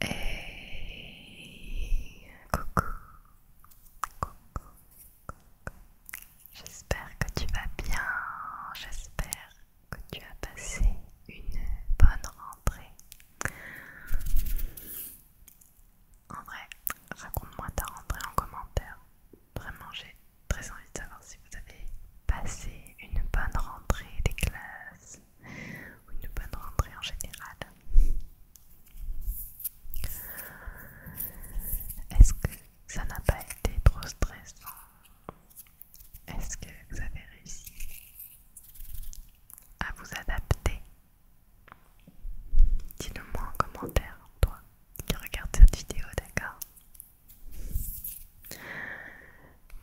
Hey, coucou, coucou, coucou. J'espère que tu vas bien, j'espère que tu as passé une bonne rentrée. En vrai, raconte-moi ta rentrée en commentaire. Vraiment, j'ai très envie de savoir si vous avez passé une bonne rentrée des classes ou une bonne rentrée en général. Est-ce que ça n'a pas été trop stressant Est-ce que vous avez réussi à vous adapter Dis-le moi en commentaire, toi qui regardes cette vidéo, d'accord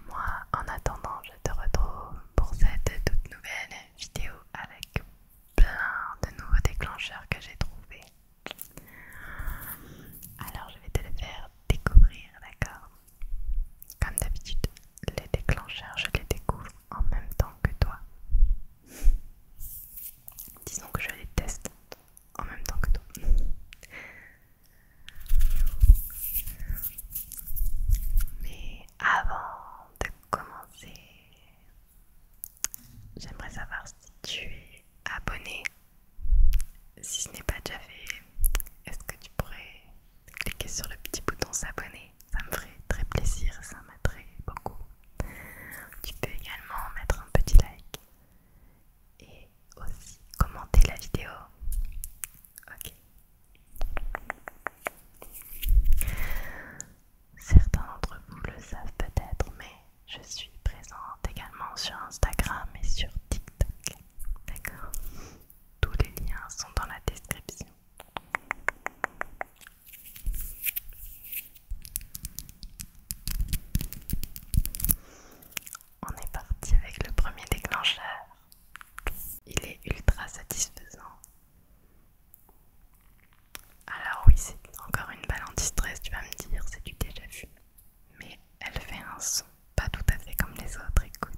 moi, en attendant, je te retrouve pour cette toute nouvelle vidéo avec plein de nouveaux déclencheurs que j'ai trouvés. Alors, je vais te les faire découvrir, d'accord Comme d'habitude, les déclencheurs, je les découvre en même temps que toi. Disons que je les teste en même temps que toi. Mais avant de commencer, j'aimerais savoir si tu es abonné. Si ce n'est pas déjà fait, est-ce que tu pourrais cliquer sur le petit bouton s'abonner Ça me ferait très plaisir, ça m'attrait beaucoup. Tu peux également mettre un petit like et aussi commenter la vidéo. Ok. Certains d'entre vous le savent peut-être, mais je suis présente également sur Instagram et sur TikTok. D'accord Tous les liens sont dans la description. On est parti avec le premier déclencheur. Il est ultra satisfaisant. Alors oui, c'est encore une balle anti-stress, tu vas me dire, c'est du déjà vu. Mais elle fait un son pas tout à fait comme les autres, écoute.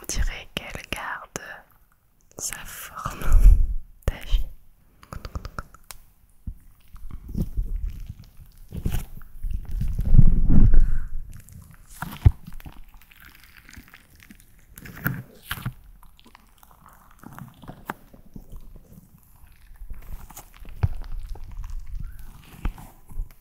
on dirait qu'elle garde sa forme d'avis.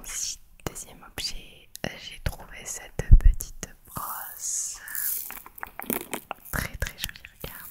Ensuite, deuxième objet, euh, j'ai trouvé cette petite brosse. Très très jolie, regarde.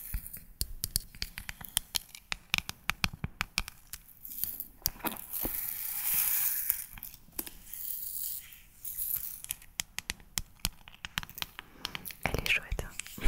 Elle est chouette. Hein.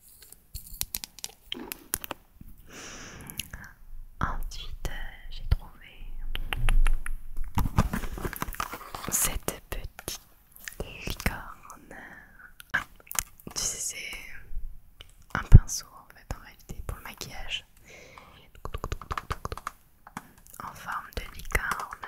Ensuite, euh, j'ai trouvé cette petite licorne. Ah, tu sais, c'est un pinceau en fait, en réalité, pour le maquillage. En forme de licorne.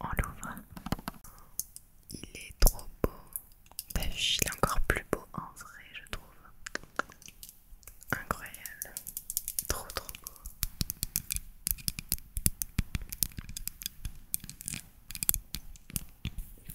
On l'ouvre. Il est trop beau. Ben, il est encore plus beau en vrai, je trouve. Incroyable. Trop trop beau.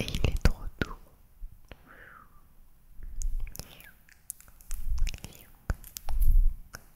Et il est trop doux.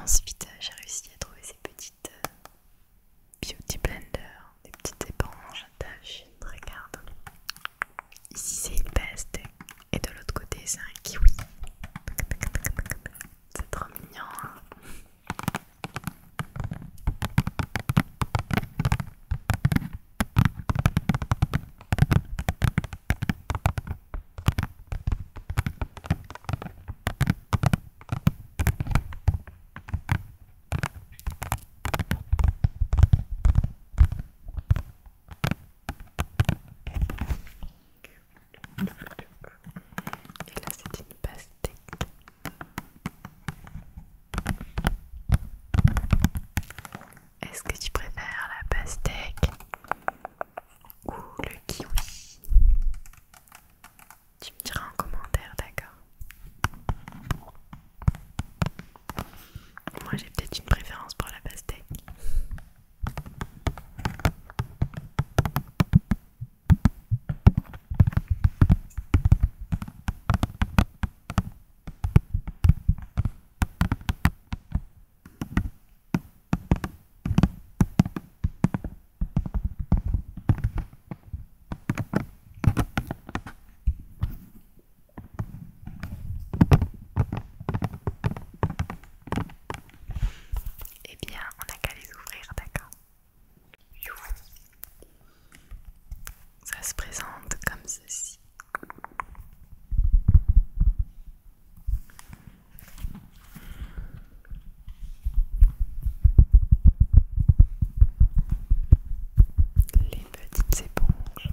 Ensuite, euh, j'ai réussi à trouver ces petites euh, Beauty Blender, des petites éponges tâche Regarde, ici c'est une peste et de l'autre côté c'est un kiwi. C'est trop mignon. Hein et là, c'est une pastèque. Est-ce que tu préfères la pastèque ou le kiwi Tu me diras en commentaire, d'accord Moi j'ai peut-être une préférence pour la pastèque. Eh bien, on a qu'à les ouvrir, d'accord Ça se présente comme ceci les petites éponges.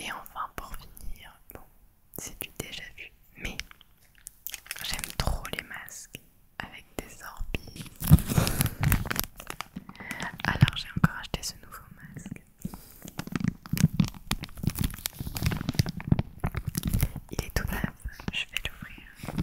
Et enfin pour finir, bon, c'est du déjà vu, mais j'aime trop les masques avec des orbites. Alors j'ai encore acheté ce nouveau masque. Il est tout neuf, je vais l'ouvrir.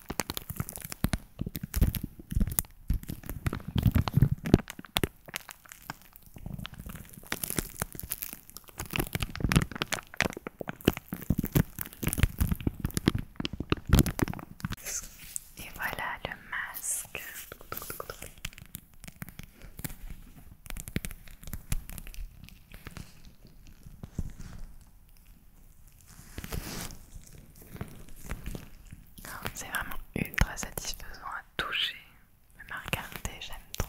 Et voilà le masque. C'est vraiment ultra satisfaisant à toucher, même à regarder, j'aime trop.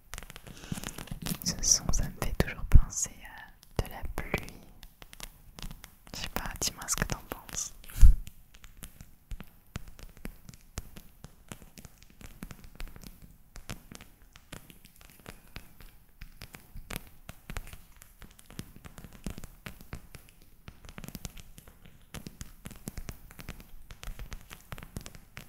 Ce son, ça me fait toujours penser à de la pluie. Je sais pas, dis-moi ce que t'en penses.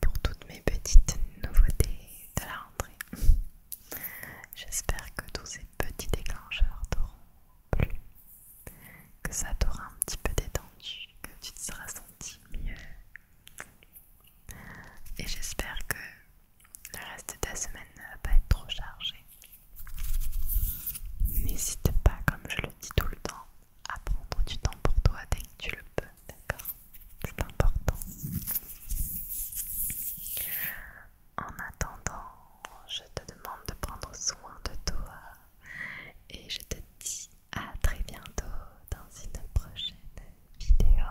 pour toutes mes petites nouveautés de la rentrée. J'espère que tous ces petits déclencheurs t'auront plu, que ça t'aura un petit peu détendu, que tu te seras senti mieux. Et j'espère que le reste de ta semaine ne va pas être trop chargé. N'hésite pas, comme je le dis tout le temps, à prendre du temps pour toi dès que tu le peux d'accord C'est important. En attendant, je te demande de prendre soin de toi et je te dis à très bientôt dans une prochaine vidéo.